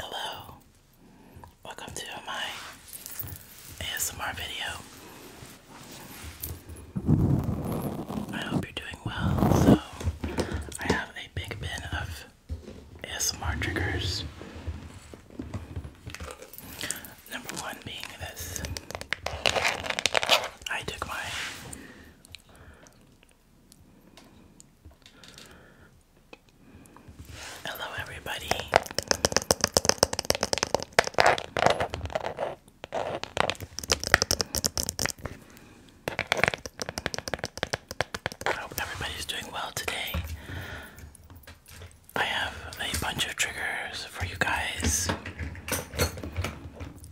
Hello, welcome to my ASMR video. I hope you're doing well. So, I have a big bin of ASMR triggers. Number one being this. I took my Hello, everybody. I hope everybody's doing well today. I have a bunch of triggers for you guys.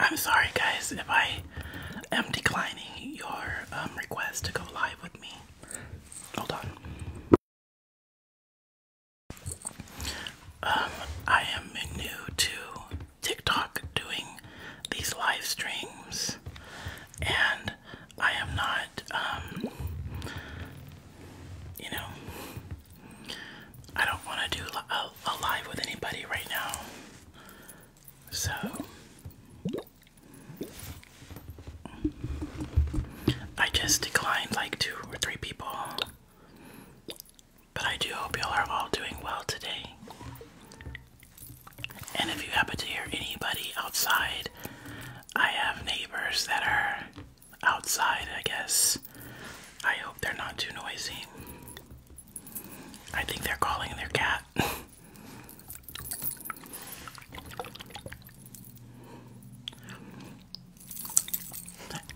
I'm sorry, guys, if I am declining your um, request to go live with me. Hold on. Um, I am new to TikTok doing these live streams, and I am not, um, you know, I don't want to do a, live with anybody right now. So I just declined like two or three people. But I do hope y'all are all doing well today. And if you happen to hear anybody outside, I have neighbors that are outside, I guess. I hope they're not too noisy. I think they're calling their cat.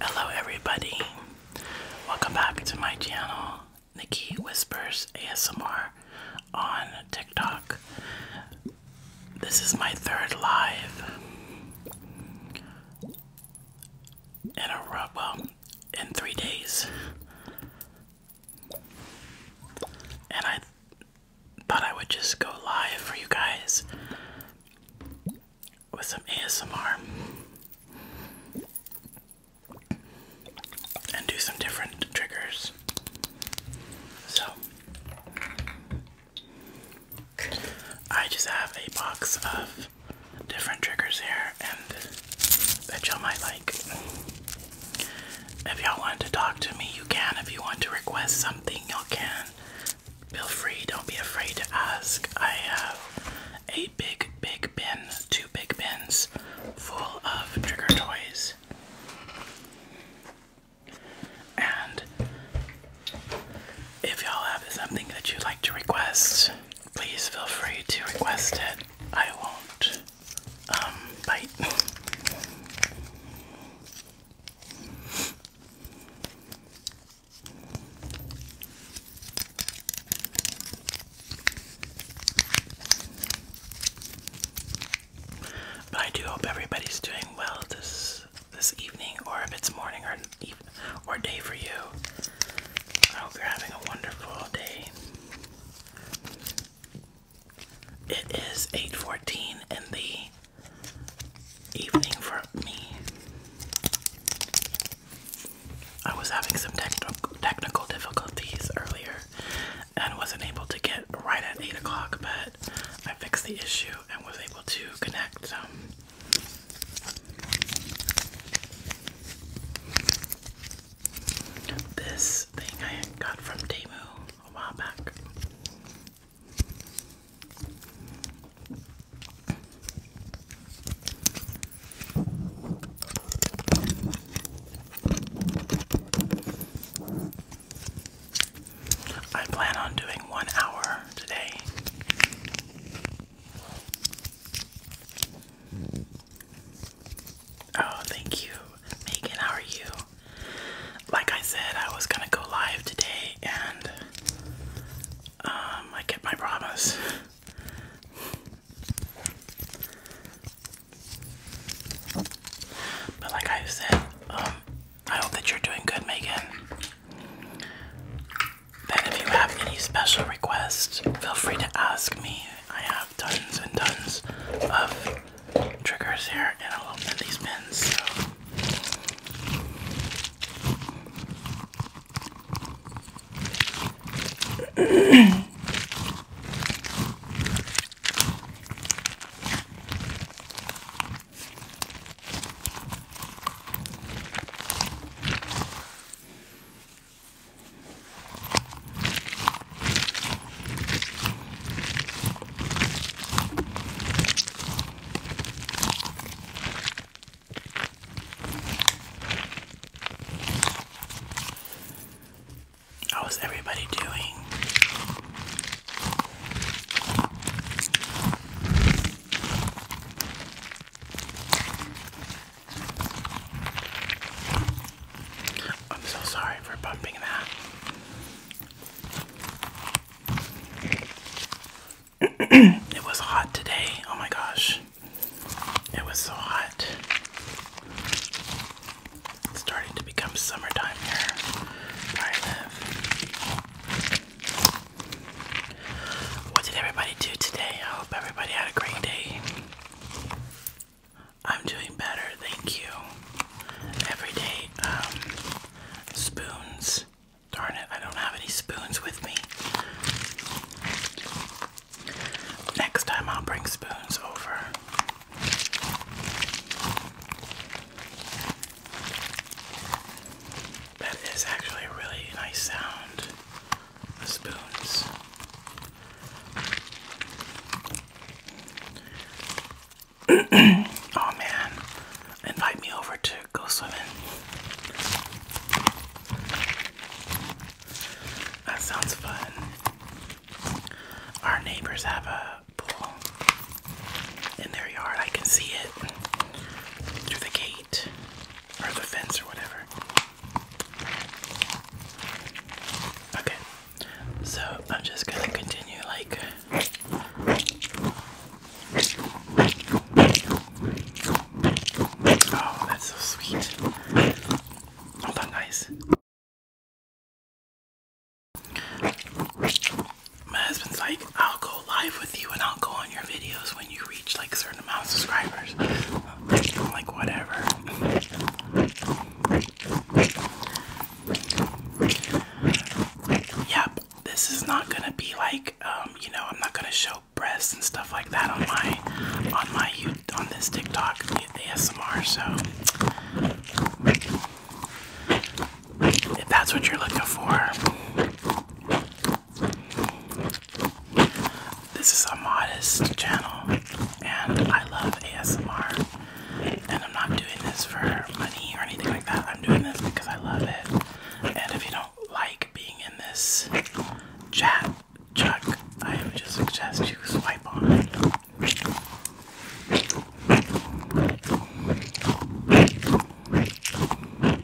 Hello, everybody. Welcome back to my channel, Nikki Whispers ASMR on TikTok. This is my third live in a well, in three days. And I thought I would just go live for you guys with some ASMR and do some different triggers. So I just have a box of different triggers here and that y'all might like. If y'all want to talk to me, you can. If you want to request something, y'all can. Feel free, don't be afraid to ask. I have a big, big bin, two big bins full of trigger toys. And if y'all have something that you'd like to request, please feel free to request it. I won't um, bite. But I do hope everybody's doing well this this evening, or if it's morning or or day for you. I hope you're having a wonderful day. It is 8:14 in the evening for me. I was having some technical technical difficulties earlier and wasn't able to get right at 8 o'clock, but I fixed the issue and was able to connect. Um, this thing I got from Temu a while back. I plan on doing one hour today. Oh, thank you, Megan. How are you? Like I said, I was gonna go live today, and um, I kept my promise. But like i said, um, I hope that you're doing good, Megan. Then, if you have any special requests, feel free to ask me. I have tons and tons of triggers here, and I'll open these pins. How is everybody doing? I'm so sorry for bumping that. it was hot today. Oh my gosh. It was so hot. It's starting to become summertime here where I live. What did everybody do today? I hope everybody had a great day. I'm doing better, thank you. Every day, um, spoons. Darn it, I don't have any spoons with me. Next time I'll bring spoons over. That is actually a really nice sound. The spoons. oh man, invite me over to go swimming. That sounds fun. Our neighbors have a pool in their yard. I can see it through the gate or the fence or whatever. Okay, so I'm just gonna continue like. Oh, that's so sweet. Oh, that's nice my husband's like, I'll go live with you and I'll go on your videos when you reach like a certain amount of subscribers. I'm like, whatever. Yep, this is not gonna be like, um, you know, I'm not gonna show breasts and stuff like that on my, on my, on this TikTok ASMR. So, if that's what you're looking for, this is a modest channel, and I love ASMR. And I'm not doing this for money or anything like that. I'm doing this because I love it. And if you don't like being in this chat, Chuck, I would just suggest you swipe on it.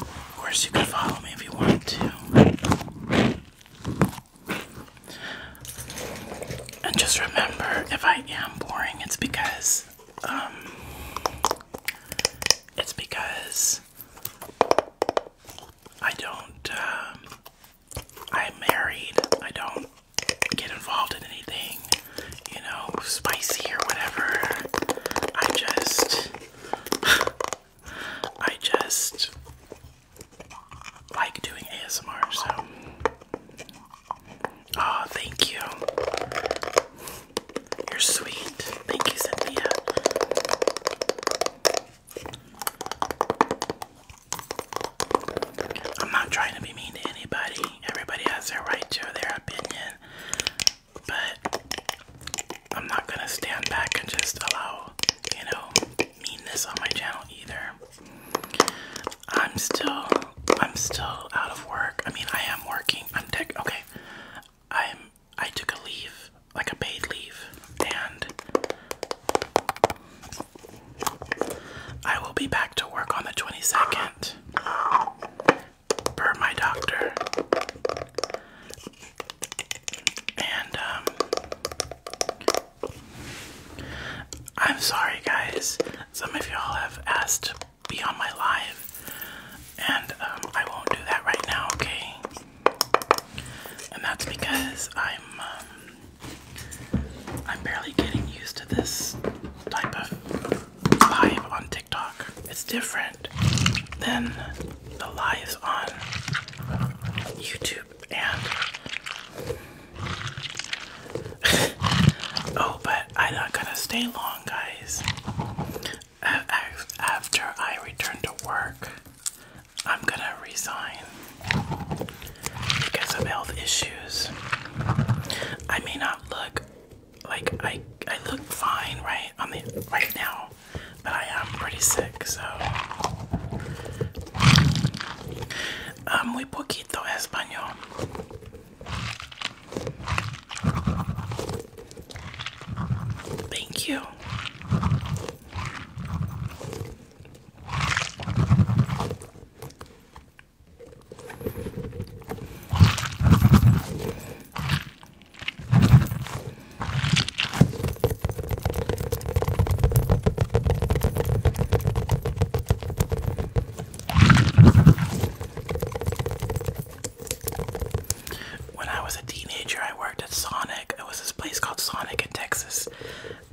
Of course, you can follow me if you want to. And just remember, if I am boring, it's because, um, it's because I don't, um, I'm married. I don't get involved in anything you know, spicy or whatever. I just, I just like doing ASMR, so. Oh, thank you. You're sweet. Thank you, Cynthia. I'm not trying to be mean to anybody. Everybody has their right to their opinion but I'm not gonna stand back and just allow, you know, meanness on my channel either. I'm still, I'm still out of work. I mean, I am working. I'm tech. Okay, I'm. I took a leave, like a paid leave, and I will be back to work on the 22nd per my doctor. And, um, I'm sorry, guys. Some of y'all have asked be on my live, and um, I won't do that right now, okay? And that's because I'm, um, I'm barely getting used to this type of vibe on TikTok. It's different. Then than the lives on YouTube and oh, but I'm not gonna stay long, guys. After I return to work, I'm gonna resign because of health issues. I may not look like I I look fine right on the right now, but I am pretty sick. So uh, muy poquito español. Thank you. When I was a teenager, I worked at Sonic. It was this place called Sonic in Texas,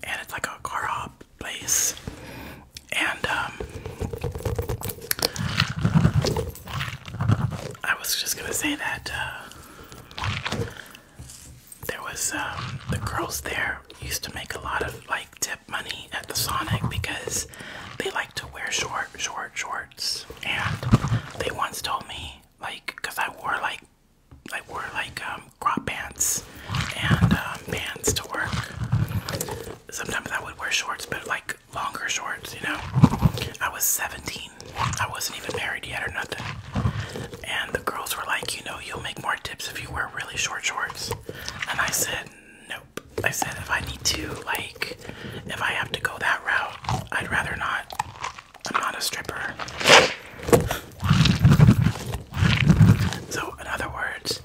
and it's like a car place. And um, I was just gonna say that uh, there was um, the girls there used to make a lot of like tip money at the Sonic because they like to wear short, short shorts, and they once told me like because I wore like I wore like um, crop pants and um, pants to work. Sometimes I would wear shorts, but like longer shorts, you know. I was 17. I wasn't even married yet or nothing. And the girls were like, you know, you'll make more tips if you wear really short shorts. And I said, nope. I said, if I need to, like, if I have to go that route, I'd rather not. I'm not a stripper. So, in other words,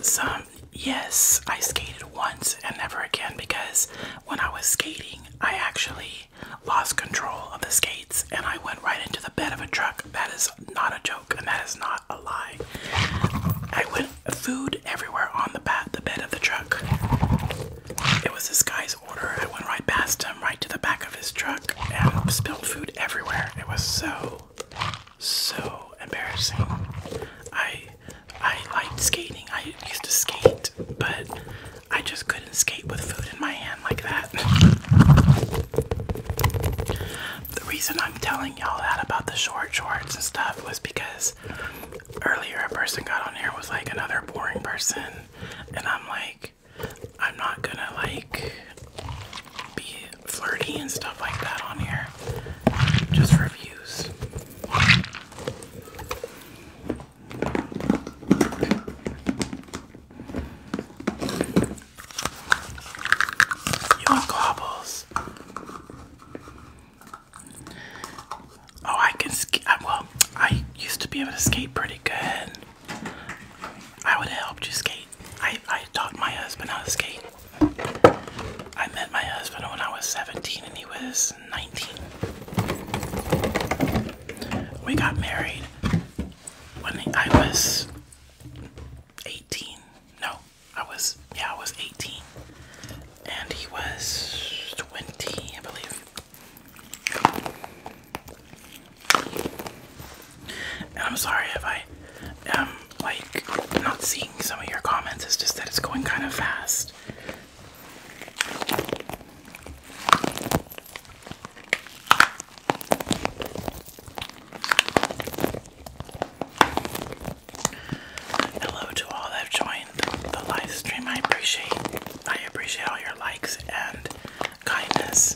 some um, yes, I skated once and never again because when I was skating, I actually lost control of the skates and I went right into the bed of a truck. That is not a joke and that is not a lie. I went food everywhere on the bat, the bed of the truck. It was this guy's order. I went right past him, right to the back of his truck, and spilled food everywhere. It was so, so embarrassing. I I liked skating. I used to skate, but I just couldn't skate with food in my hand like that. The reason I'm telling y'all that about the short shorts and stuff was because earlier a person got on here was like another boring person, and I'm like, I'm not gonna like be flirty and stuff like that on here. Just reviews. You want Oh, I can ski. Well, I used to be able to skate pretty good. I would have helped you skate. I, I taught my husband how to skate. I met my husband when I was 17 and he was 19. We got married when I was 18. No, I was, yeah, I was 18. And he was 20, I believe. I'm sorry if I am, like, not seeing some of your comments. It's just that it's going kind of fast. Hello to all that joined the live stream. I appreciate I appreciate all your likes and kindness.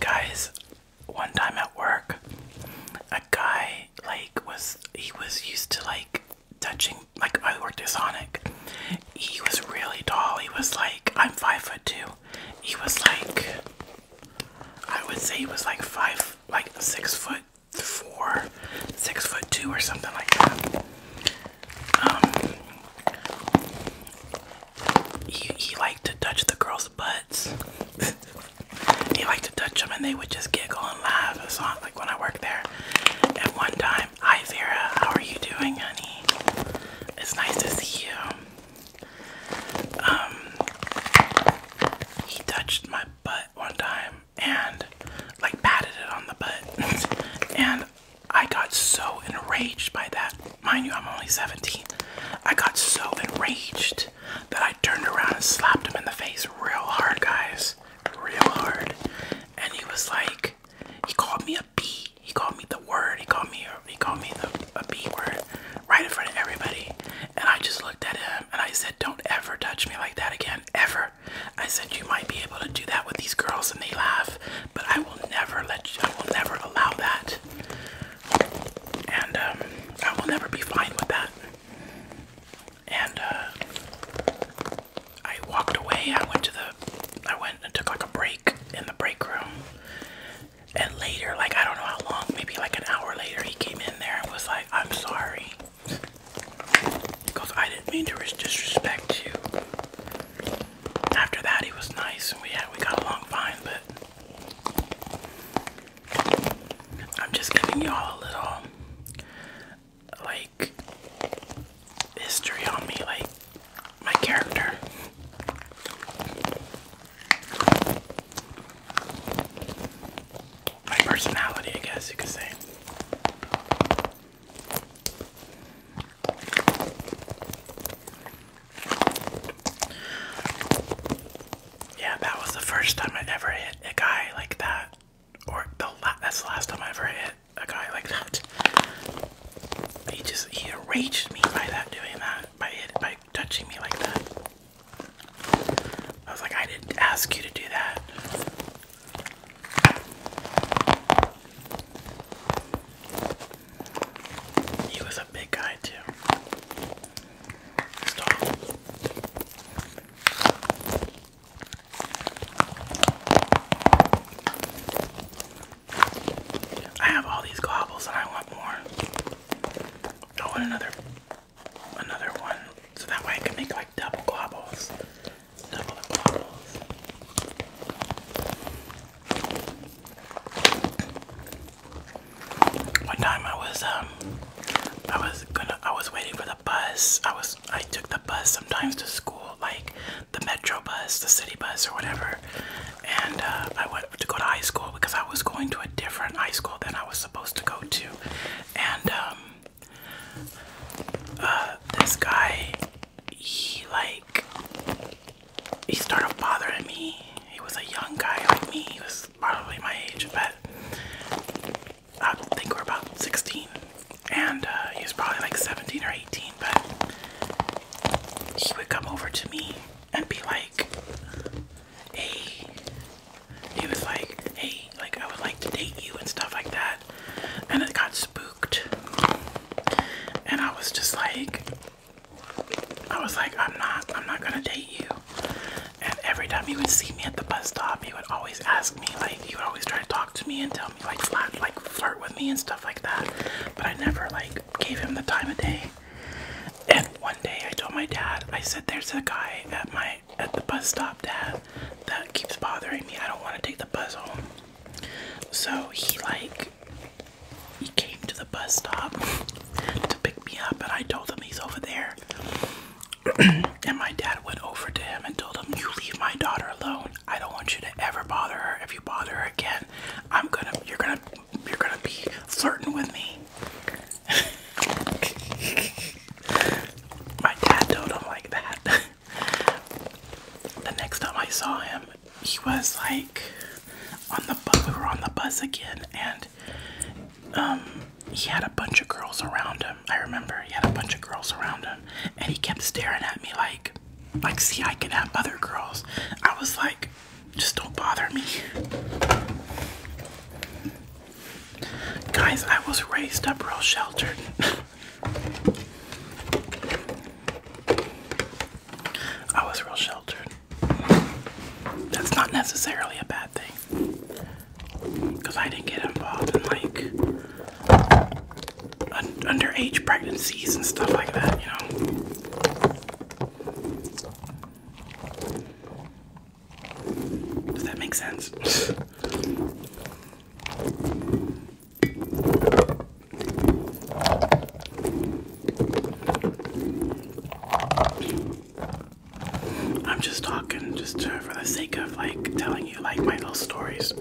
Guys, one time at work, a guy like was he was used to like touching like I worked at Sonic. He was really tall. He was like I'm five foot two. He was like I would say he was like five like six foot four, six foot two or something like that. Um, he, liked to touch the girls' butts. he liked to touch them and they would just giggle and laugh. It's not like when I worked there. At one time, hi Vera, how are you doing, honey? It's nice to see you. Um, he touched my butt one time and like patted it on the butt, and I got so enraged by that Mind you, I'm only 17. I got so enraged that I turned around and slapped him in the face real hard, guys. Real hard. And he was like, he called me a B. He called me the word. He called me he called me the, a B word right in front of everybody. And I just looked at him and I said, Don't ever touch me like that again. Ever. I said you might be able to do that with these girls and they laugh, but I will never let you I will never allow that and um, I will never be fine with that. And uh, I walked away. I went to the, I went and took like a break in the break room. And later, like I don't know how long, maybe like an hour later, he came in there and was like, "I'm sorry," because I didn't mean to disrespect you. After that, he was nice and we had we got along fine, but I'm just giving y'all a little like history on me, like my character. My personality, I guess you could say. Yeah, that was the first time I ever hit a guy like that. Or the la that's the last time I ever hit a guy like that. He just he enraged me by that doing that by hit by touching me like that. I was like, I didn't ask you to do that. He was a big guy too. I have all these gobbles and I want more. I want another another one. So that way I can make like double gobbles. Double gobbles. One time I was um I was gonna I was waiting for the bus. I was I took the bus sometimes to school, like the metro bus, the city bus or whatever. And uh, I went to go to high school because I was going to a different high school than I was supposed to go to. And um uh this guy he like he started bothering me. He was a young guy like me. He was probably my age, but I think we're about 16, and uh, he was probably like 17 or 18. But he would come over to me and be like, "Hey," he was like, "Hey, like I would like to date you and stuff like that," and it got spooked, and I was just like, I was like, I'm not, I'm not gonna date you. And every time he would see me at the bus stop, he would always ask me, like, he would always try to talk to me and tell me, like, flat, like, flirt with me and stuff like that. But I never, like, gave him the time of day. And one day I told my dad, I said, there's a guy at my, at the bus stop, Dad, that keeps bothering me. I don't want to take the bus home. So he, like, he came to the bus stop to pick me up, and I told him he's over there. and my dad went over to him and told him, You leave my daughter alone. I don't want you to ever bother her. If you bother her again, I'm gonna you're gonna you're gonna be flirting with me. my dad told him like that. the next time I saw him, he was like on the bus. We were on the bus again, and um, he had a bunch of girls around him. I remember he had a bunch of girls around him, and he kept staring at me like, like, see, I can have other girls. I was like, just don't bother me. Guys, I was raised up real sheltered. I was real sheltered. That's not necessarily a bad thing. Because I didn't get involved in like un underage pregnancies and stuff like that, you know. Does that make sense? I'm just talking just for the sake of like telling you like my little stories.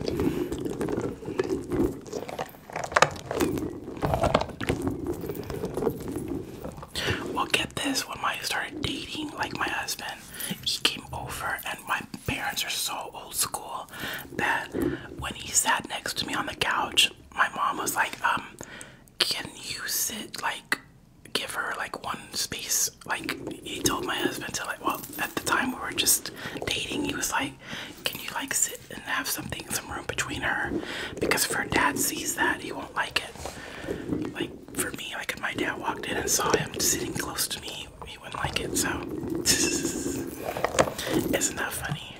Well, get this. When I started dating, like my husband, he came over, and my parents are so old school that when he sat next to me on the couch, my mom was like, um, can you sit like give her like one space like he told my husband to like well at the time we were just dating he was like can you like sit and have something some room between her because if her dad sees that he won't like it like for me like if my dad walked in and saw him sitting close to me he wouldn't like it so isn't that funny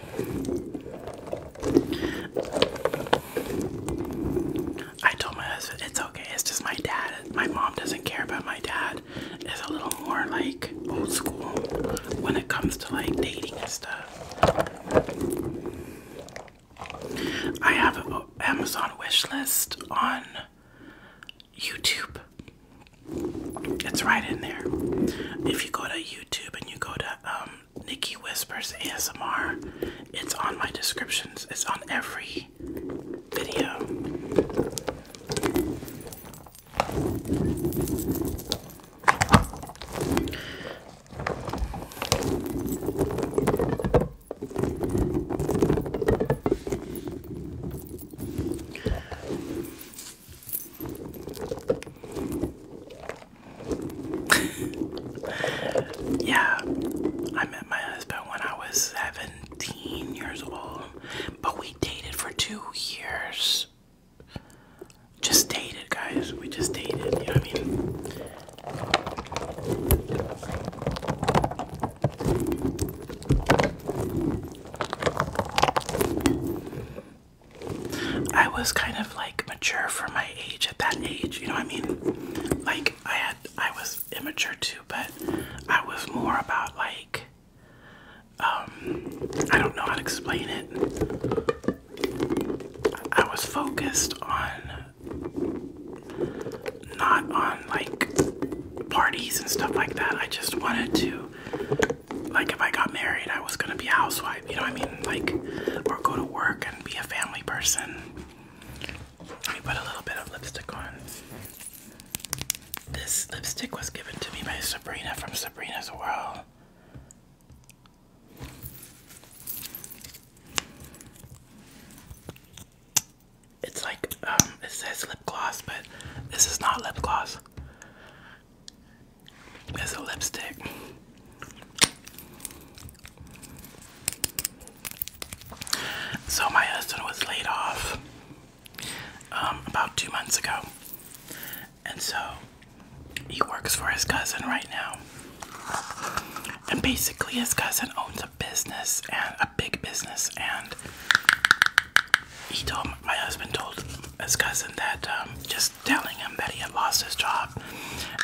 I told my husband it's okay, it's just my dad. My mom doesn't care, about my dad It's a little more like old school when it comes to like dating and stuff. I have an Amazon wish list on YouTube. It's right in there. If you go to YouTube and you go to um Nikki Whispers ASMR. It's on my descriptions. It's on every video yeah, I met my husband when I was 17 years old, but we dated for two years. Just dated, guys. We just dated. I mean? I was kind of like mature for my age at that age, you know what I mean? Like I had I was immature too, but I was more about like um I don't know how to explain it. I was focused on not on like parties and stuff like that. I just wanted to like if I got married, I was gonna be a housewife, you know what I mean? Like, or go to work and be a family person. Let me put a little bit of lipstick on. This lipstick was given to me by Sabrina from Sabrina's World. It's like, um, it says lip gloss, but this is not lip gloss. It's a lipstick. So my husband was laid off um, about two months ago, and so he works for his cousin right now. And basically, his cousin owns a business and a big business, and he told my husband told his cousin that um, just telling him that he had lost his job,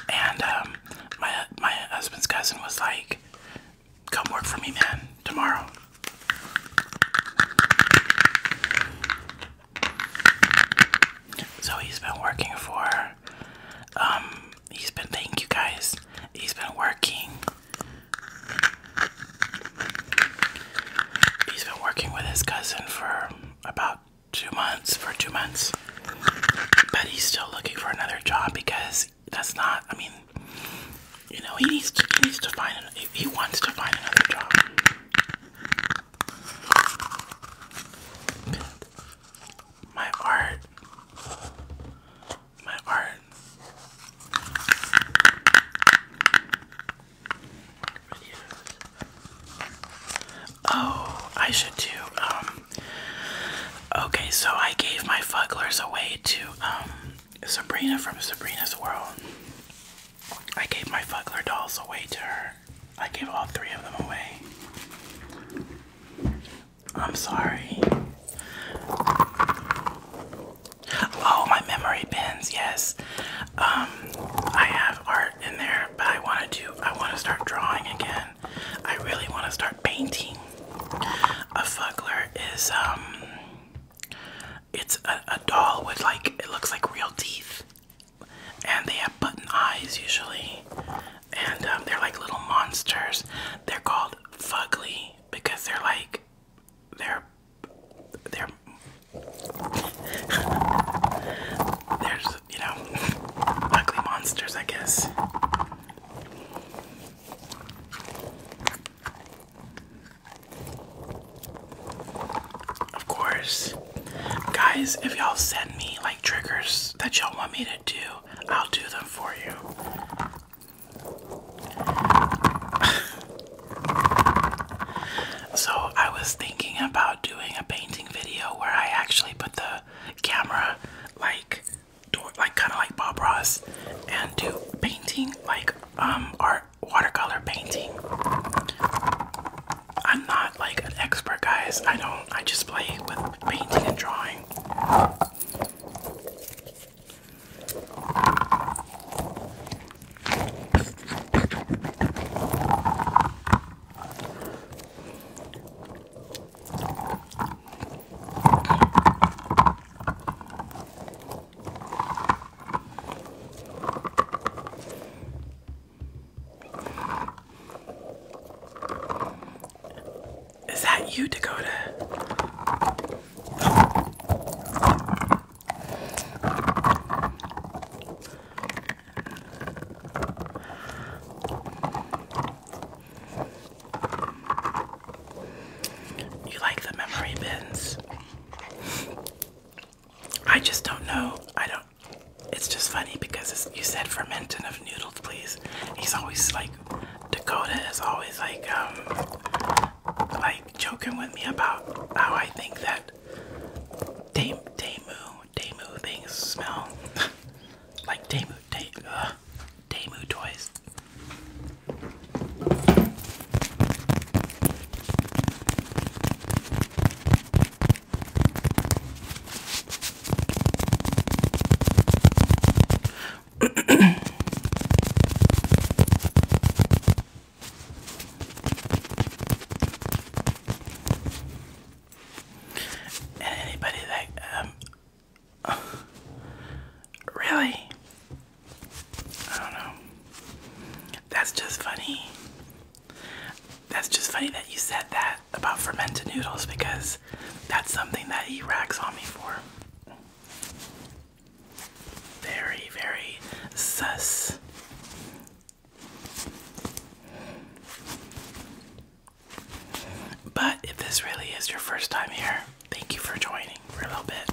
and um, my my husband's cousin was like, "Come work for me, man, tomorrow." So he's been working for. Um, he's been. Thank you guys. He's been working. He's been working with his cousin for about two months for two months. But he's still looking for another job because that's not. I mean, you know, he needs to, he needs to find. An, he wants to find another job. My art. My art. Oh, I should too. Um, okay, so I gave my fugglers away to um, Sabrina from Sabrina's World. I gave my fuggler dolls away to her. I gave all three of them away. I'm sorry. Oh, my memory pins, yes. Um, I have art in there, but I want to I want to start drawing again. I really want to start painting. A fuggler is um, it's a, a doll with like it looks like real teeth, and they have button eyes usually, and um, they're like little monsters. They're called fuggly because they're like they're they're there's, you know, ugly monsters, I guess. Of course. Guys, if y'all send me like triggers that y'all want me to do, I'll do them for you. so, I was thinking about doing a painting video where I actually put the camera like door like kinda like Bob Ross and do painting like um art watercolor painting. I'm not like an expert guys. I don't I just play with painting and drawing. Is that you, Dakota? You like the memory bins? I just don't know. I don't. It's just funny because you said fermenting of noodles, please. He's always like, Dakota is always like, um, like joking with me about how I think that Dame, Demu Damu things smell like Damu, Day, uh, toys. And anybody that um really I don't know. That's just funny. That's just funny that you said that about fermented noodles because that's something that he rags on me for. Very, very sus. But if this really is your first time here, thank you for joining for a little bit.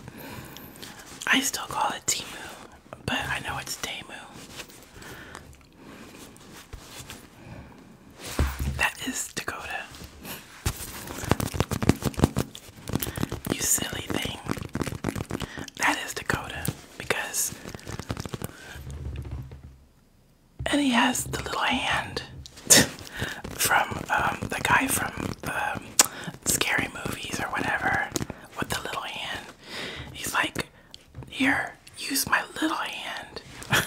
I still call it Timu, but I know it's Temu. That is Dakota. You silly thing. That is Dakota because and he has the little hand from um, the guy from scary movies or whatever with the little hand. He's like, Here, use my little hand.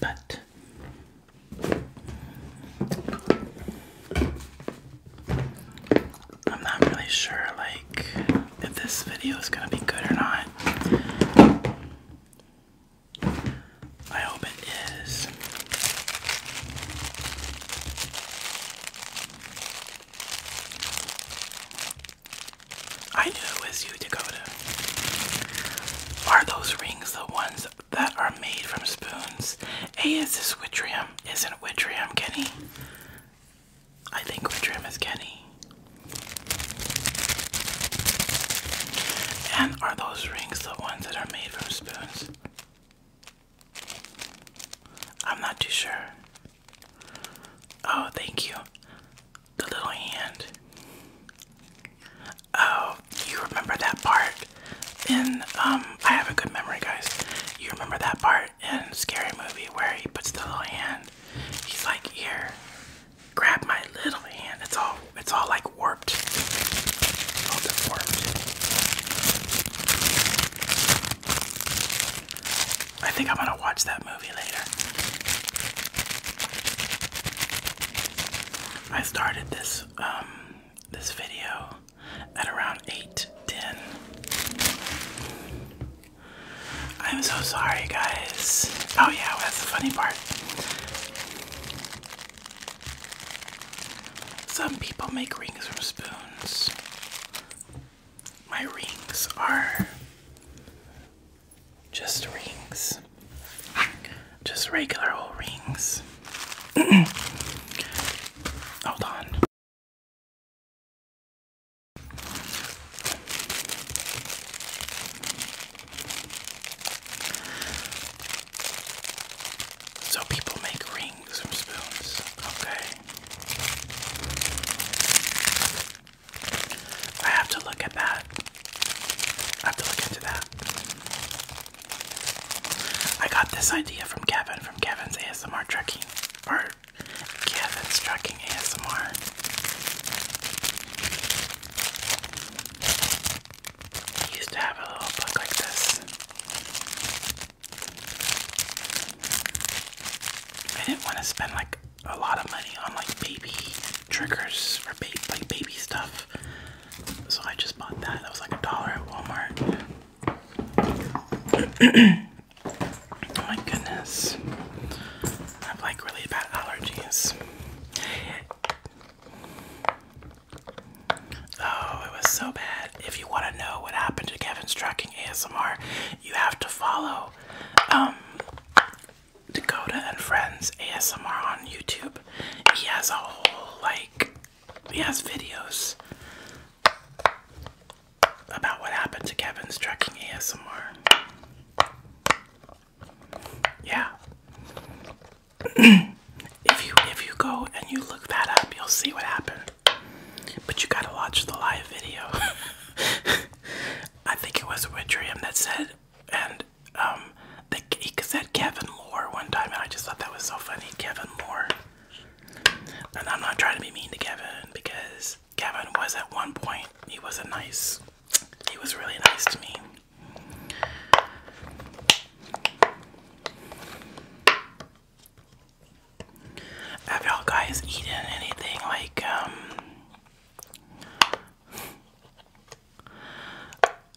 But I'm not really sure like if this video is going to be good or not. I hope it is. I knew it was you, Dakota. Are those rings the ones that are made from spoons? Hey, is this Witrium? Isn't Witrium Kenny? I think Witrium is Kenny. And are those rings the ones that are made from spoons? I'm not too sure. Oh, thank you. The little hand. Oh, you remember that part in um I have a good memory guys. You remember that part in Scary Movie where he puts the little hand. He's like here grab my little hand. It's all it's all like warped. I think I'm gonna watch that movie later. I started this um this video at around 8:10. I'm so sorry guys. Oh yeah, that's the funny part. Some people make rings from spoons. My rings are just rings, just regular old rings. Hold on. So people make rings from spoons, okay? I have to look at that. I have to look into that. I got this idea from Kevin, from Kevin's ASMR trucking, or Kevin's trucking ASMR. We used to have a little book like this. I didn't want to spend like a lot of money on like baby triggers for like baby stuff. So I just bought that. That was like a dollar at Walmart. oh my goodness. I have like really bad allergies. Oh, it was so bad. If you want to know what happened to Kevin's Trucking ASMR, you have to follow um, Dakota and Friends ASMR on YouTube. He has a whole, like, he has videos about what happened to Kevin's Trucking ASMR. Yeah. if you if you go and you look that up, you'll see what happened. But you gotta watch the live video. I think it was Witrium that said, and um, he said Kevin Moore one time, and I just thought that was so funny, Kevin Moore. And I'm not trying to be mean to Kevin because Kevin was at one point he was nice, he was really nice to me. Have y'all guys eaten anything like, um,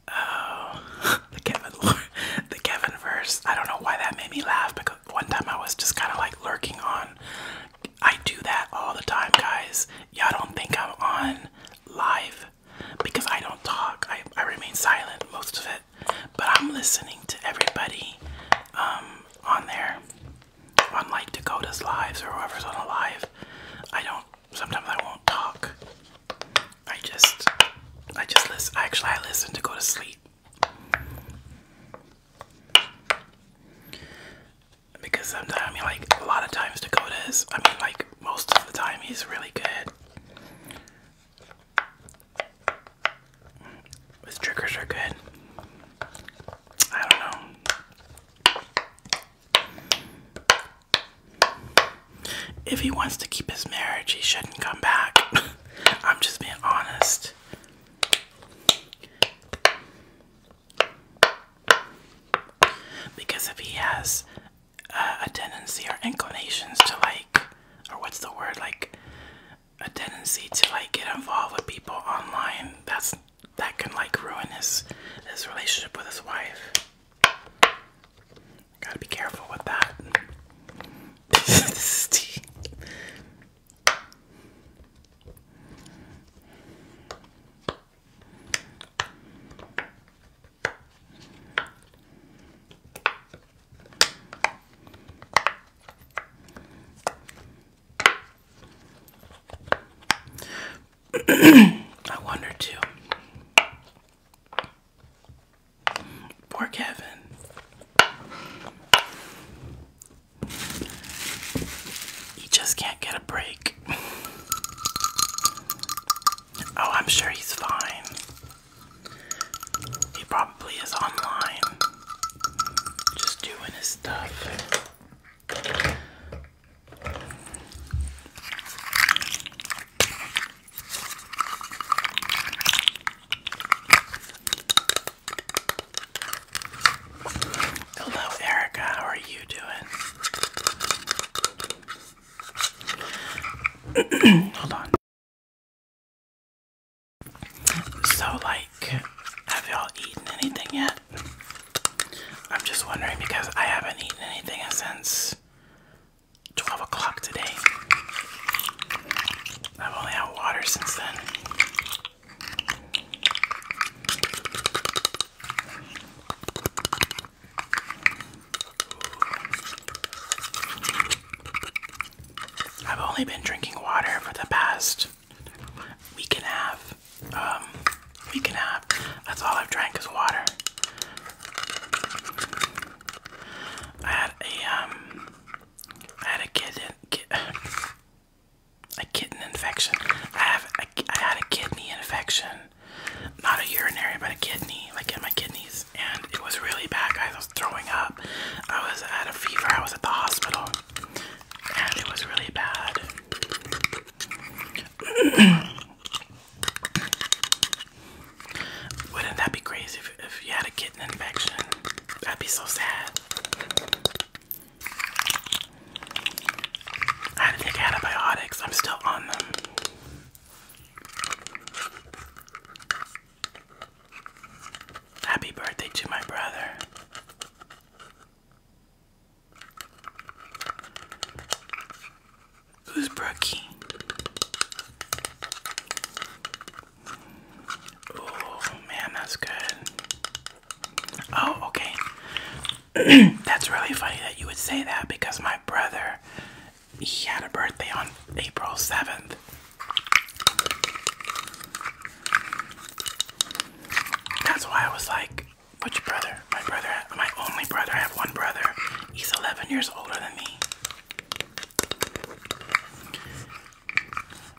oh, the Kevin, the Kevin verse? I don't know why that made me laugh because one time I was just kind of like lurking on. I do that all the time, guys. Y'all don't think I'm on live because I don't talk. I, I remain silent most of it, but I'm listening to everybody um, on there, on like Dakota's lives or whoever's on a live. I don't. Sometimes I won't talk. I just, I just listen. Actually, I listen to go to sleep because sometimes I mean like a lot of times Dakota is I mean like most of the time he's really good. His triggers are good. I don't know. If he wants to keep his marriage, he shouldn't come back. I'm just being honest. Because if he has uh, a tendency or inclinations to like, or what's the word, like a tendency to like get involved with people online, that's that can like ruin his his relationship with his wife. Gotta be careful with that. this is tea. I wonder too. Poor Kevin. He just can't get a break. Oh, I'm sure he's fine. He probably is online, just doing his stuff. Hello, Erica. How are you doing? Hold on. So, like, have y'all eaten anything yet? I'm just wondering because I haven't eaten anything since 12 o'clock today. I've only had water since then. I've only been drinking water for the past week and a half. Um, week and a half. That's all I've drank is water. I had a um, I had a kitten, a kitten infection. I have, a, I had a kidney infection not a urinary, but a kidney, like in my kidneys, and it was really bad, guys. I was throwing up. I was at a fever. I was at the hospital, and it was really bad. Wouldn't that be crazy if, if you had a kidney infection? That'd be so sad. I had to take antibiotics. I'm still on them. Happy birthday to my brother. Who's Brookie? Oh man, that's good. Oh, okay. That's really funny that you would say that because my brother, he had a birthday on April 7th. That's why I was like, which brother? My brother, my only brother, I have one brother. He's 11 years older than me.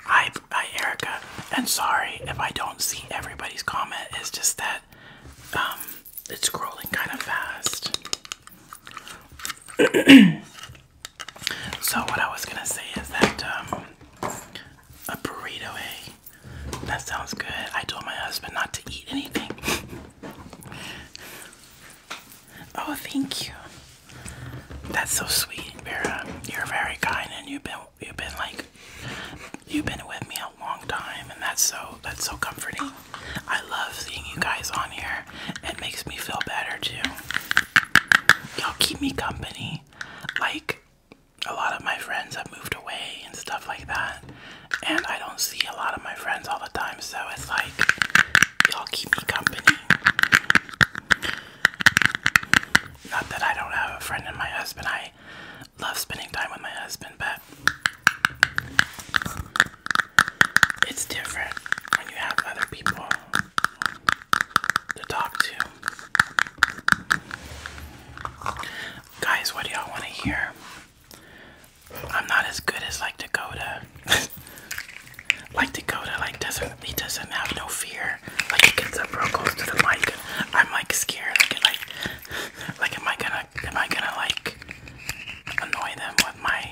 Hi, hi Erica. And sorry if I don't see everybody's comment. It's just that um, it's scrolling kind of fast. so what I was gonna say is that um, a burrito, eh? That sounds good. I told my husband not to eat anything. oh, thank you. That's so sweet, Vera. Um, you're very kind, and you've been you've been like you've been with me a long time and that's so that's so comforting. I love seeing you guys on here. It makes me feel better too. Y'all keep me company. Like a lot of my friends have moved away and stuff like that. And I don't see a lot of my friends all the time, so it's like y'all keep me company. Not that I don't have a friend in my husband, I I love spending time with my husband, but it's different when you have other people to talk to. Guys, what do y'all want to hear? I'm not as good as like Dakota. like Dakota, like doesn't he doesn't have no fear. Like he gets up real close to the mic. I'm like scared. Like, like, like am I gonna I, am I gonna like annoy them with my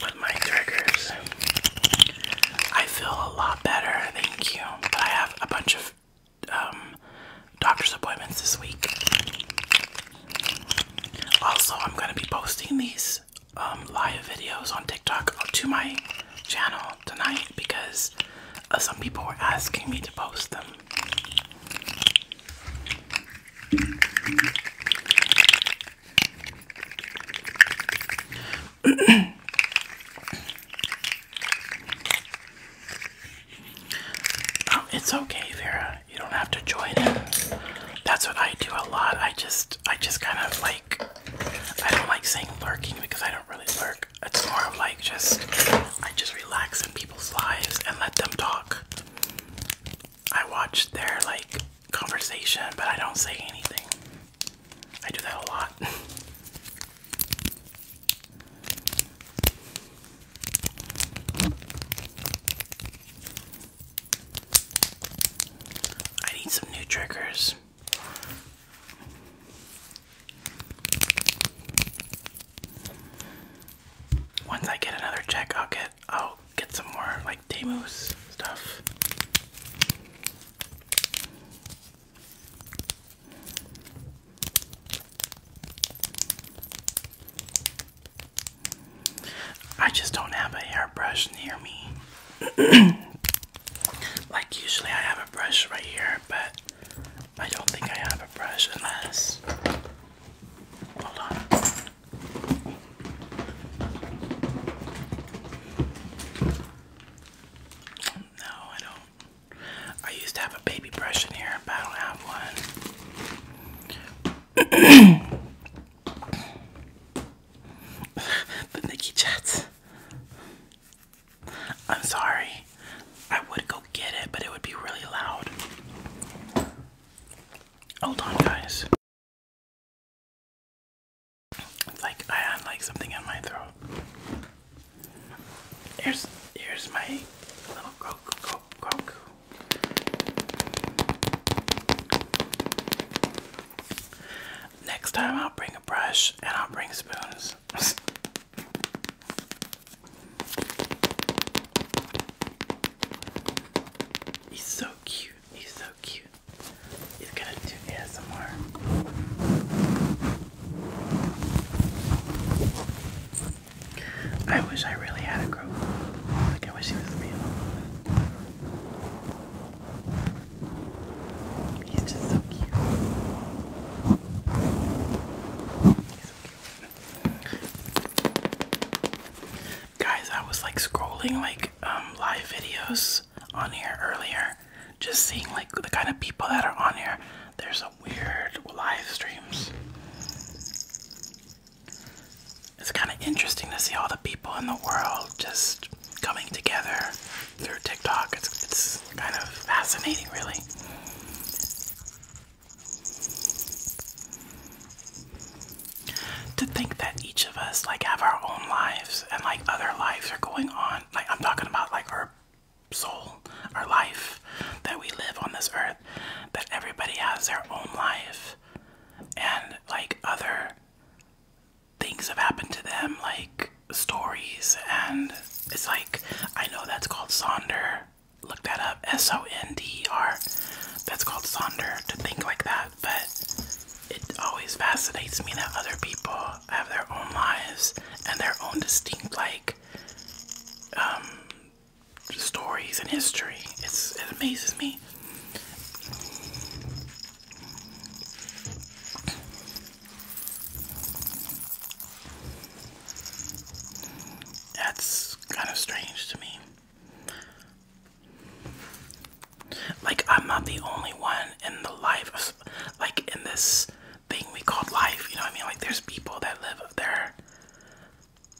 with my triggers? I feel a lot better, thank you. But I have a bunch of um, doctor's appointments this week. Also, I'm gonna be posting these um, live videos on TikTok to my channel tonight because uh, some people were asking me to post them. Oh, it's okay, Vera. You don't have to join in. That's what I do a lot. I just I just kind of like I don't like saying lurking because I don't really work. It's more of like just I just relax in people's lives and let them talk. I watch their like conversation, but I don't say anything. I do that a lot. I need some new triggers. Once I get another check, I'll get I'll get some more like Deimos stuff. I just don't have a hairbrush near me. like usually I have a brush right here, but I don't think I have a brush unless. Hold on. No, I don't. I used to have a baby brush in here, but I don't have one. the Nikki Jets. I'm sorry. I would go get it, but it would be really loud. Hold on, guys. It's like I had like something in my throat. Here's here's my little Grogu. Gro Next time I'll bring a brush and I'll bring spoons. He's so cute. He's so cute. He's gonna do ASMR. I wish I really had a crow. Like I wish he was real. He's just so cute. Guys, I was like scrolling like um, live videos on here earlier, just seeing like the kind of people that are on here. There's some weird live streams. It's kind of interesting to see all the people in the world just coming together through TikTok. It's, it's kind of fascinating, really. To think that each of us like have our own lives and like other lives are going on. Like I'm talking about like our soul, our life that we live on this earth. That everybody has their own life and like other things have happened to them, like stories and it's like I know that's called Sonder. Look that up. S O N D R. That's called Sonder to think like that, but it always fascinates me that other people have their own lives and their own distinct like um, stories and history. It's it amazes me. That's kind of strange to me. Like, I'm not the only one in the life, of, like, in this thing we call life, you know what I mean? Like, there's people that live up there.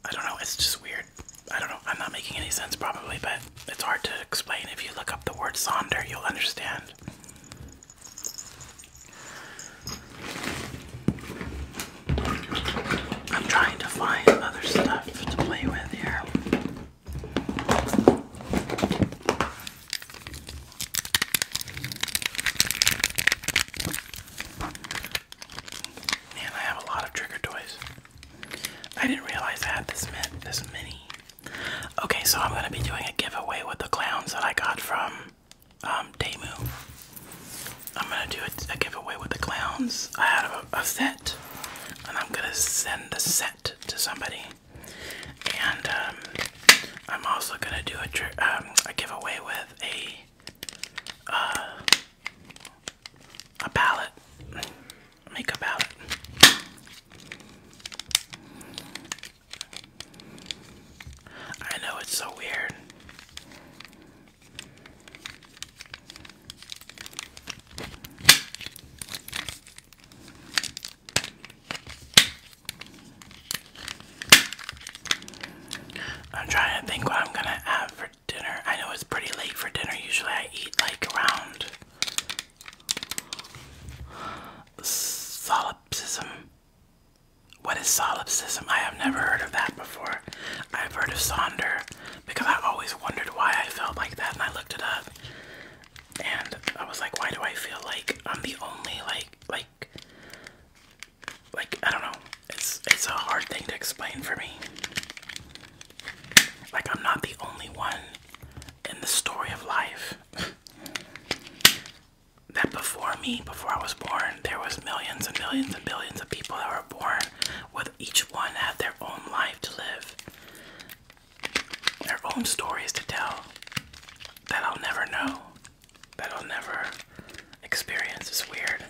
I don't know, it's just weird. I don't know, I'm not making any sense probably, but it's hard to explain. If you look up the word Sonder, you'll understand. I'm trying to find other stuff to play with here. And I have a lot of trigger toys. I didn't realize I had this mint Okay, so I'm gonna be doing a giveaway with the clowns that I got from um, I'm gonna do a, giveaway with the clowns. I had a, set, and I'm gonna send the set to somebody. And um, I'm also gonna do a, um, giveaway with a uh, a palette, makeup palette. I know it's so weird. I'm trying to think what I'm gonna have for dinner. I know it's pretty late for dinner. Usually I eat like around solipsism. What is solipsism? I have never heard of that before. I've heard of Sonder because I always wondered why I felt like that and I looked it up. And I was like, why do I feel like I'm the only like like like I don't know. It's it's a hard thing to explain for me. Like I'm not the only one in the story of life. that before me, before I was born, there was millions and millions and billions of people that were born with each one had their own life to live. Their own stories to tell that I'll never know. That I'll never experience. It's weird.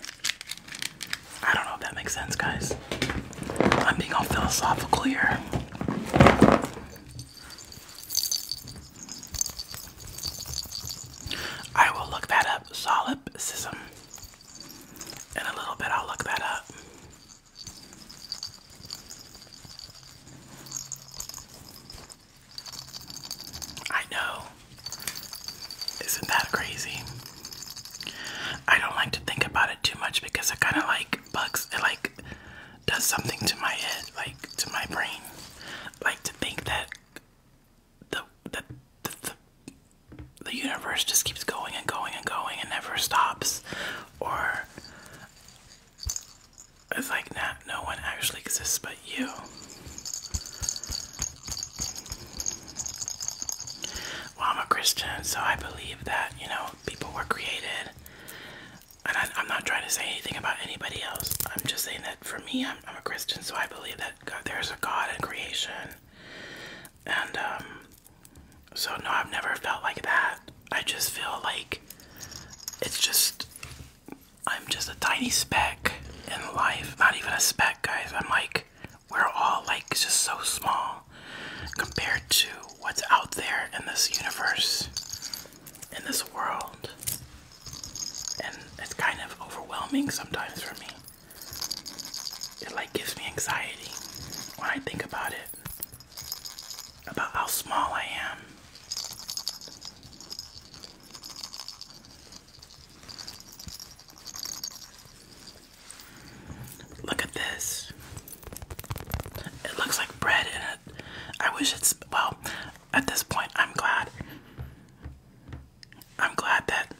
I don't know if that makes sense, guys. I'm being all philosophical here. I will look that up. Solipsism. In a little bit, I'll look that up. I know. Isn't that crazy? I don't like to think about it too much because I kind of like bugs, it like does something to my head, like to my brain. Like to think that the the the, the universe just keeps going and going and going and never stops or it's like not no one actually exists but you well i'm a christian so i believe that you know people were created and I, am not trying to say anything about anybody else i'm just saying that for me, I'm, a Christian, so I believe that there's a God in creation. And um, so, no, I've never felt like that. I just feel like it's just, I'm just a tiny speck in life. Not even a speck, guys. I'm like, we're all like just so small compared to what's out there in this universe, in this world and it's kind of overwhelming sometimes for me. It like gives me anxiety when I think about it, about how small I am. Look at this. It looks like bread in it. I wish it's well, at this point, I'm glad. I'm glad that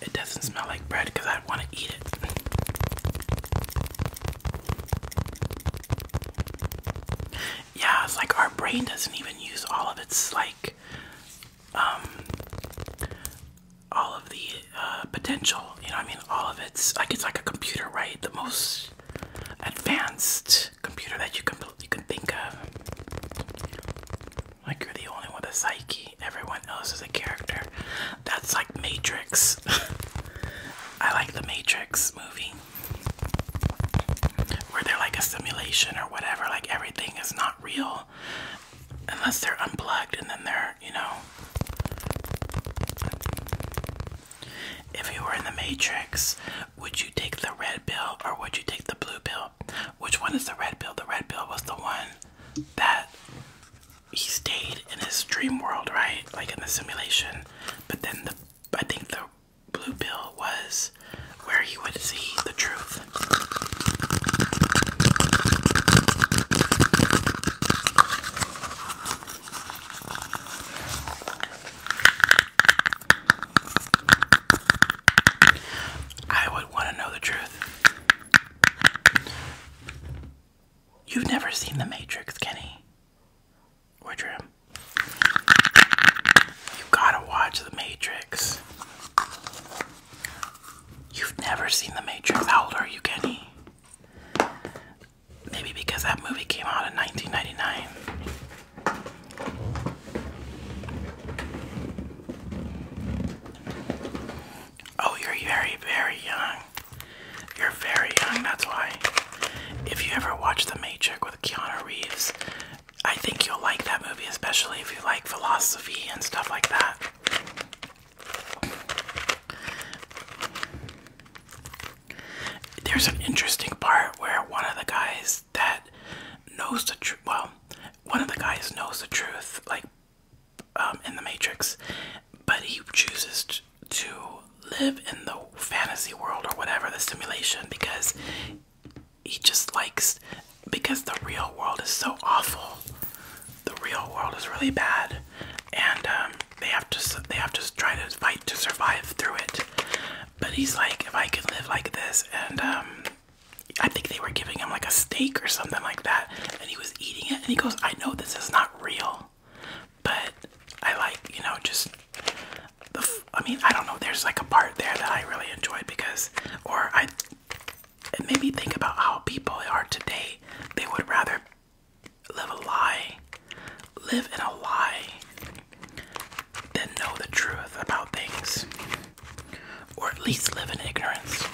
it doesn't smell like bread because I want to eat it. yeah, it's like our brain doesn't even use all of its like um all of the uh, potential. You know, I mean, all of its like it's like a computer, right? The most advanced computer that you can you can think of. Like you're the only one with a psyche. Everyone else is a character. That's like Matrix. I like the Matrix movie. Where they're like a simulation or whatever, like everything is not real unless they're unplugged and then they're, you know, if you were in the Matrix, would you take the red pill or would you take the blue pill? Which one is the red pill? The red pill was the one that he stayed in his dream world, right? Like in the simulation. But then the I think the blue pill was where he would see the truth. I would want to know the truth. You've never seen The Matrix, Kenny. Or Jim. You gotta watch The Matrix. You've never seen The Matrix. How old are you, Kenny? Maybe because that movie came out in 1999. Oh, you're very, very young. You're very young, that's why. If you ever watch The Matrix with Keanu Reeves, I think you'll like that movie, especially if you like philosophy and stuff like that. There's an interesting part where one of the guys that knows the truth, well, one of the guys knows the truth, like um, in the Matrix, but he chooses to live in the fantasy world or whatever, the simulation, because he just likes, because the real world is so awful. The real world is really bad, and um, they have to they have to try to fight to survive through it. But he's like, if I could live like this, and um, I think they were giving him like a steak or something like that, and he was eating it, and he goes, I know this is not real, but I like, you know, just the. F I mean, I don't know. There's like a part there that I really enjoy because, or I, it made me think about how people are today. They would rather live a lie, live in a lie, then know the truth about things, or at least live in ignorance.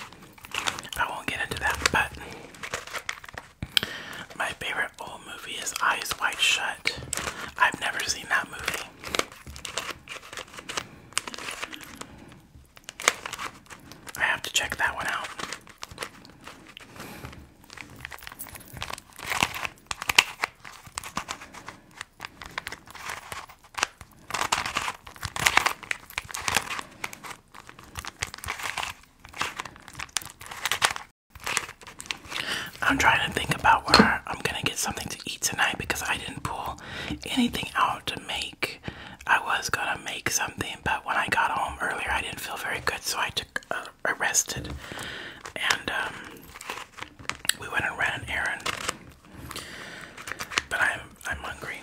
I won't get into that, but my favorite old movie is Eyes Wide Shut. I've never seen that movie. I have to check that one out. I'm trying to think about where I'm gonna get something to eat tonight because I didn't pull anything out to make. I was gonna make something, but when I got home earlier, I didn't feel very good, so I took uh, arrested, and um, we went and ran an errand. But I'm I'm hungry.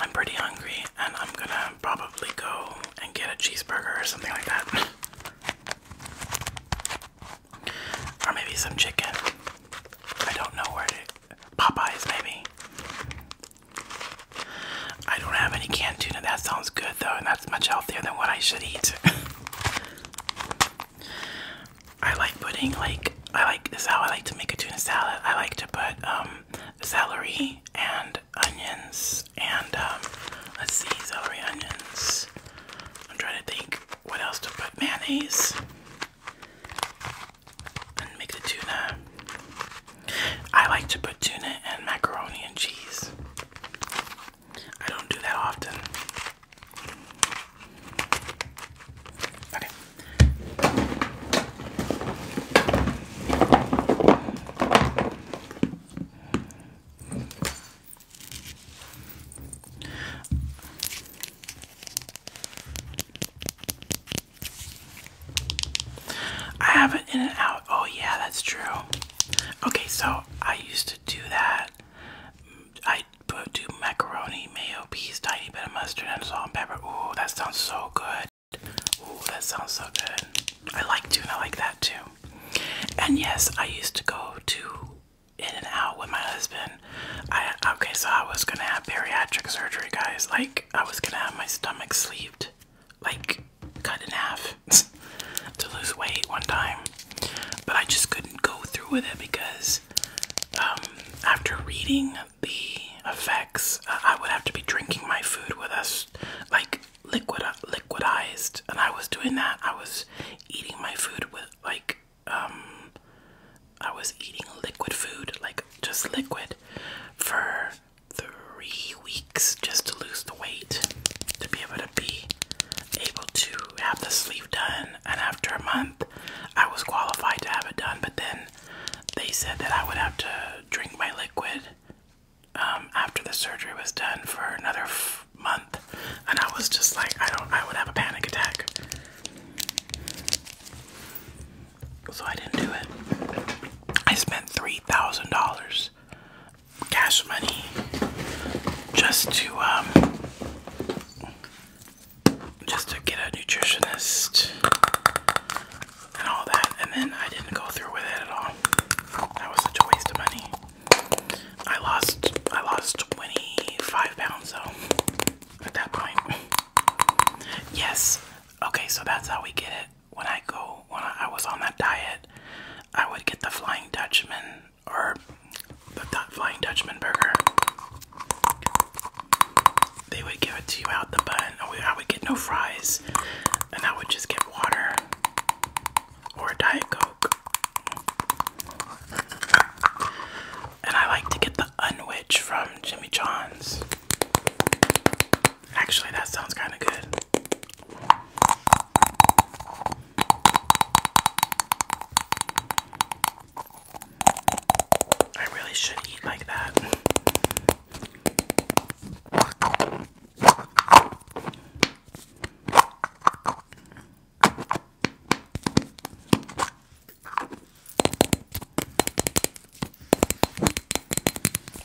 I'm pretty hungry, and I'm gonna probably go and get a cheeseburger or something like that, or maybe some chicken. I don't know where to. Popeyes maybe. I don't have any canned tuna. That sounds good though, and that's much healthier than what I should eat. I like putting like I like this how I like to make a tuna salad. I like to put um, celery and onions and um let's see celery onions. I'm trying to think what else to put mayonnaise and make the tuna. I like to put tuna and macaroni and cheese. I don't do that often. Okay. I have it in and out. Oh, yeah, that's true. Okay, so I used to do that. I put do macaroni, mayo, peas, tiny bit of mustard, and salt and pepper. Ooh, that sounds so good. Ooh, that sounds so good. I like tuna like that too. And yes, I used to go to in and out with my husband. I okay, so I was gonna have bariatric surgery, guys. Like I was gonna have my stomach sleeved like cut in half to lose weight one time, but I just couldn't go through with it because um, after reading the effects, I would have to be drinking my food with us like liquid liquidized, and I was doing that. I was eating my food with like um, I was eating liquid food, like just liquid, for three weeks just to lose the weight to be able to be able to have the sleeve done, and after a month, I was qualified to have it done. But then they said that I would have to drink my liquid um, after the surgery was done for another month, and I was just like, I don't, I would have a panic attack. So I didn't do it. I spent $3,000 cash money just to um, just to get a nutritionist and all that and then I didn't go through with it at all. That was such a waste of money. I lost I lost 25 pounds though at that point. Yes. Okay, so that's how we get it when I go when I was on that diet, I would get the Flying Dutchman or the Flying Dutchman burger. They would give it to you out the bun. I would get no fries, and I would just get water or Diet Coke. And I like to get the unwich from Jimmy John's. Actually, that sounds kind of good. I really should eat like that.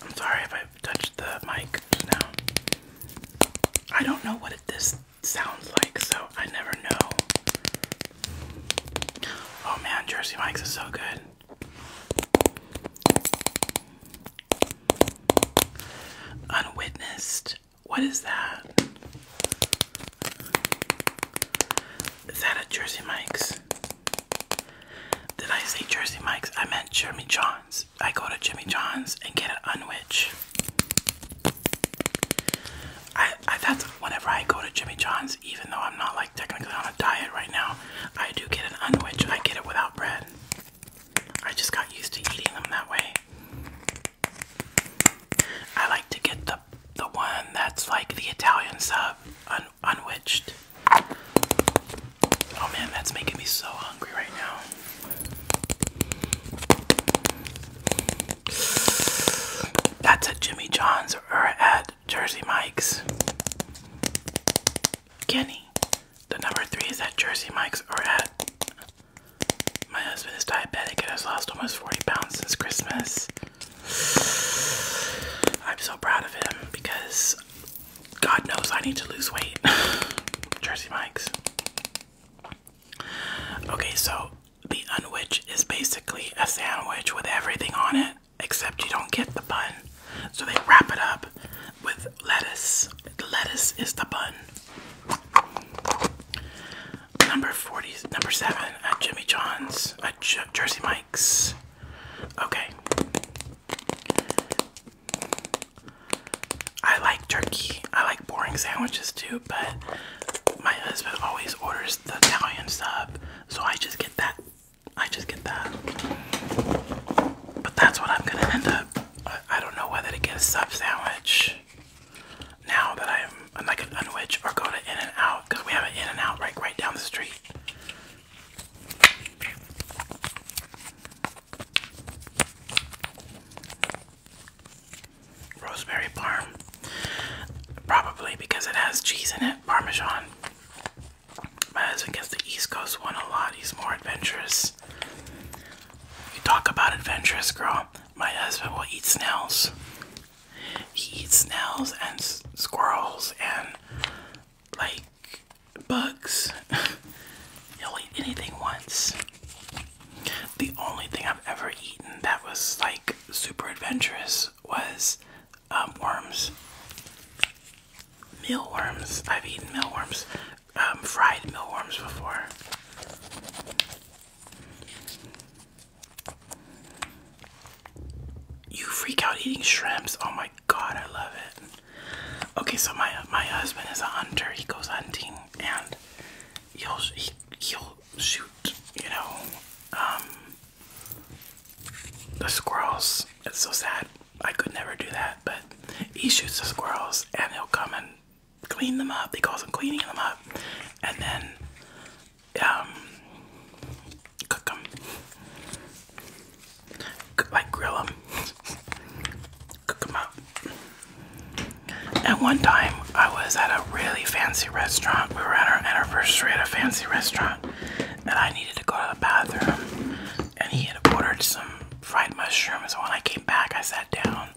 I'm sorry if i the mic now. I don't know what it, this sounds like, so I never know. Oh man, Jersey Mike's is so good. Unwitnessed. What is that? Is that a Jersey Mike's? Did I say Jersey Mike's? I meant Jeremy John. I go to Jimmy John's and get an unwich. I, that's whenever I go to Jimmy John's, even though I'm not like technically on a diet right now, I do get an unwitch. I get it without bread. I just got used to eating them that way. I like to get the the one that's like the Italian sub unwitched. Oh man, that's making me so hungry right now. That's at Jimmy John's or at Jersey Mike's. Kenny. The number three is at Jersey Mike's or at. My husband is diabetic and has lost almost 40 pounds since Christmas. I'm so proud of him because God knows I need to lose weight. Jersey Mike's. Okay, so the unwich is basically a sandwich with everything on it, except you don't get the bun. So they wrap it up with lettuce. The lettuce is the bun. Number 40, number 7 at Jimmy John's, at Jersey Mike's. Okay. I like turkey. I like boring sandwiches too, but my husband always orders the Italian sub, so I just get that. I just get that. But that's what I'm gonna end up. I, don't know whether to get a sub sandwich now that I'm, I'm like an unwitch or go to In and Out because we have an In and Out right right down the street. Rosemary parm. Probably because it has cheese in it, parmesan. My husband gets the East Coast one a lot. He's more adventurous. You talk about adventurous, girl. My husband will eat snails. He eats snails and squirrels and like bugs. You'll eat anything once. The only thing I've ever eaten that was like super adventurous was um, worms. Mealworms. I've eaten mealworms. Um, fried mealworms before. You freak out eating shrimps. Oh my god, I love it. Okay, so my my husband is a hunter. He goes hunting and he'll he, will he will shoot, you know, um, the squirrels. It's so sad. I could never do that, but he shoots the squirrels and he'll come and clean them up. He calls them cleaning them up, and then um, cook them like grill them, cook them up. At one time, I was at a really fancy restaurant. We were at our anniversary at a fancy restaurant, and I needed to go to the bathroom. And he had ordered some fried mushrooms. When I came back, I sat down,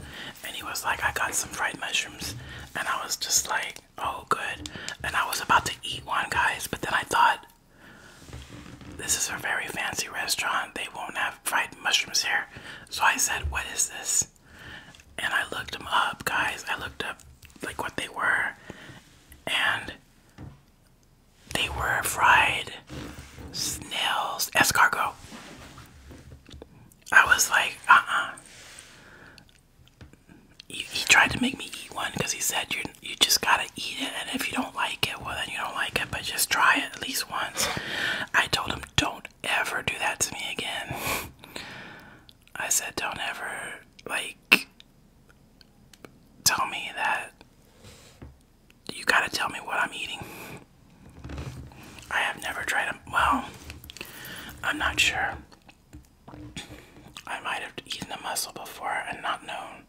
and he was like, "I got some fried mushrooms," and I was just like, "Oh, good." And I was about to eat one, guys, but then I thought this is a very fancy restaurant. They won't have fried mushrooms here. So I said, What is this? And I looked them up, guys. I looked up like what they were. And they were fried snails, escargot. I was like, uh uh. He, he tried to make me eat one because he said, you, you just gotta gotta eat it, and if you don't like it, well, then you don't like it, but just try it at least once. I told him, Don't ever do that to me again. I said, Don't ever, like, tell me that you gotta tell me what I'm eating. I have never tried them. Well, I'm not sure. I might have eaten a mussel before and not known.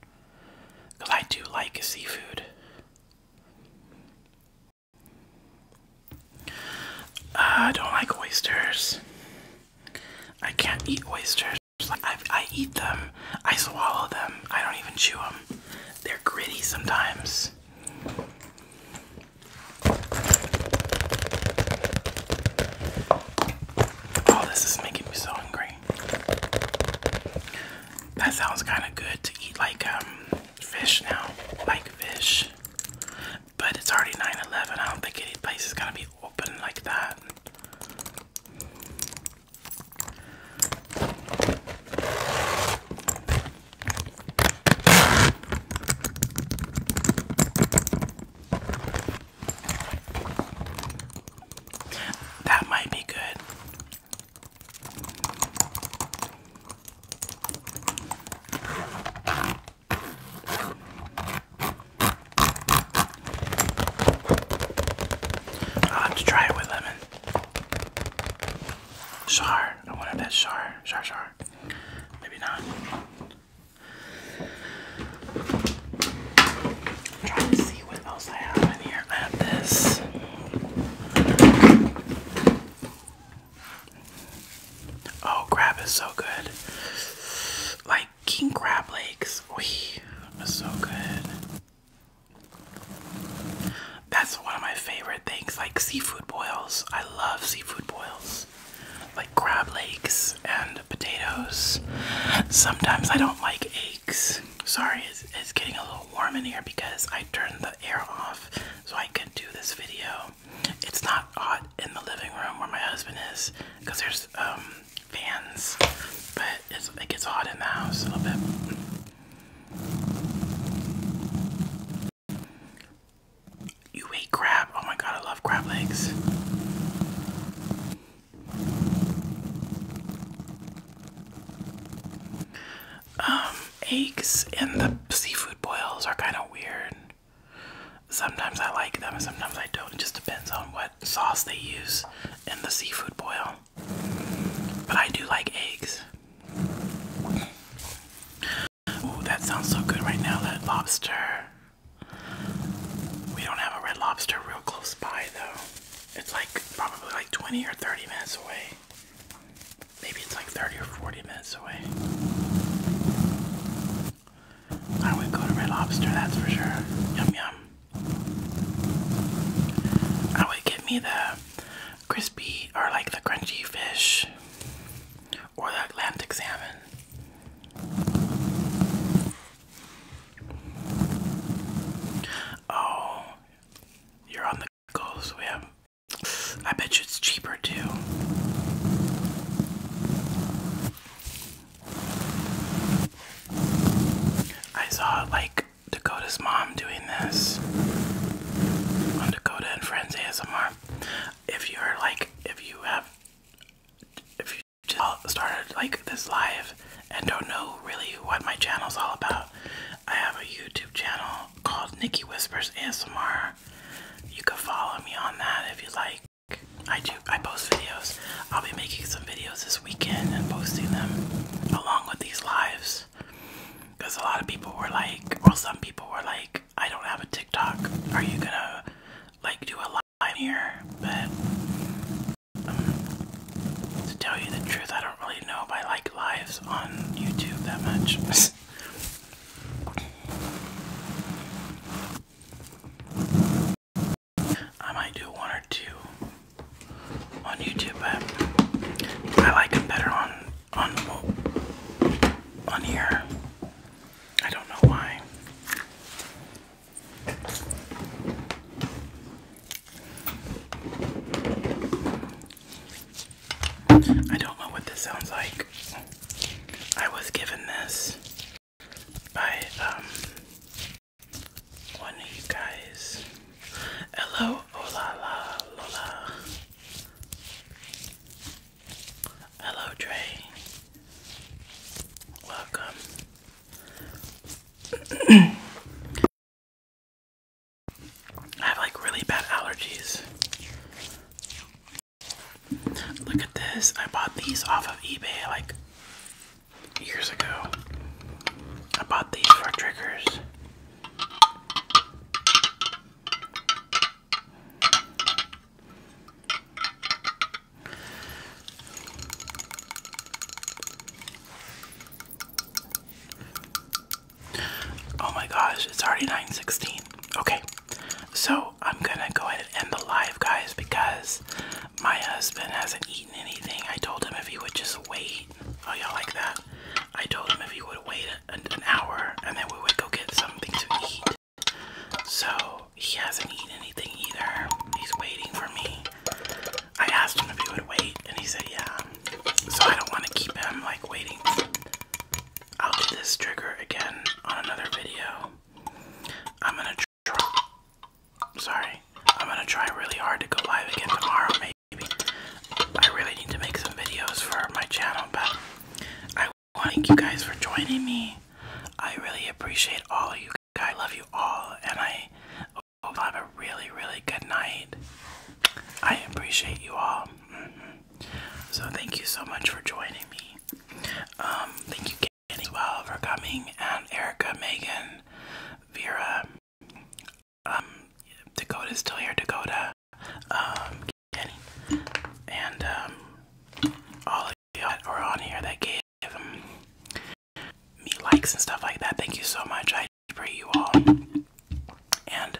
Because I do like seafood. Uh, I don't like oysters. I can't eat oysters. I, I eat them. I swallow them. I don't even chew them. They're gritty sometimes. Oh, this is making me so hungry. That sounds kind of good to eat like um fish now, like fish. But it's already 9-11. I don't think any place is gonna be open like that. That might be good. I'll have to try it with lemon. Char. I want if that's char. Char, char. Maybe not. I'm trying to see what else I have in here. I this. Oh, crab is so good. Like king crab legs. Wee, was so good. That's one of my favorite things. Like seafood boils. I love seafood boils. Like crab legs and potatoes. Sometimes I don't like eggs sorry it's, getting a little warm in here because i turned the air off so i could do this video it's not hot in the living room where my husband is because there's um, fans but it gets hot in the house a little bit you ate crab oh my god i love crab legs um, eggs in the seafood boils are kind of weird. Sometimes I like them, sometimes I don't. It just depends on what sauce they use in the seafood boil. But I do like eggs. Ooh, that sounds so good right now, that lobster. We don't have a red lobster real close by though. It's like probably like 20 or 30 minutes away. Maybe it's like 30 or 40 minutes away. I would go to Red Lobster, that's for sure. Yum yum. I would get me the crispy or like the crunchy fish or the Atlantic salmon. Oh, you're on the go, so we have. I bet you it's cheaper too. I saw like Dakota's mom doing this on Dakota and Friends ASMR. If you're like, if you have, if you just started like this live and don't know really what my channel's all about, I have a YouTube channel called Nikki Whispers ASMR. You can follow me on that if you like. I do I post videos. I'll be making some videos this weekend and posting them along with these lives. Because a lot of people were like, well some people were like, I don't have a TikTok. Are you gonna like do a live here? But to tell you the truth, I don't really know if I like lives on YouTube that much. I might do one or two on YouTube, I like it better on on on here. I don't know why. I don't know what this sounds like. I was given this by um one of you guys. Hello, hola, la, lola. Hello, Dre. Welcome. I have like really bad allergies. Look at this. I bought these off of eBay like years ago. I bought these for triggers. Oh my gosh, it's already 9:16. Okay. So, I'm going to go ahead and end the live, guys, because my husband hasn't eaten anything. I told him if he would just wait. Oh, y'all like that? I told him if he would wait an, an hour and then we would go get something to eat. So, he hasn't eaten anything either. He's waiting for me. I asked him if he would wait, and he said, yeah. So I don't want to keep him like waiting. I'll do this trigger again on another video. I'm gonna try. Sorry, I'm gonna try really hard to go live again tomorrow, maybe. I really need to make some videos for my channel, but I want thank you guys for joining me. I really appreciate all of you guys. I love you all, and I hope you have a really, really good night. I appreciate you all. Mm-hmm. So, thank you so much for joining me. Um, thank you, Kenny, well, for coming, and Erica, Megan, Vera, um, Dakota's still here, Dakota, um, Kenny, and um, all of you that were on here that gave me likes and stuff like that. Thank you so much. I pray you all. And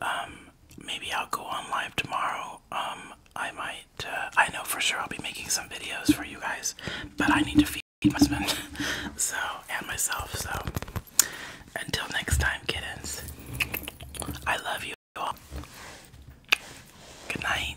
um, maybe I'll go on live tomorrow. Um, I might. Uh, I know for sure I'll be making some videos for you guys, but I need to feed my husband, so and myself. So until next time, kittens. I love you all. Good night.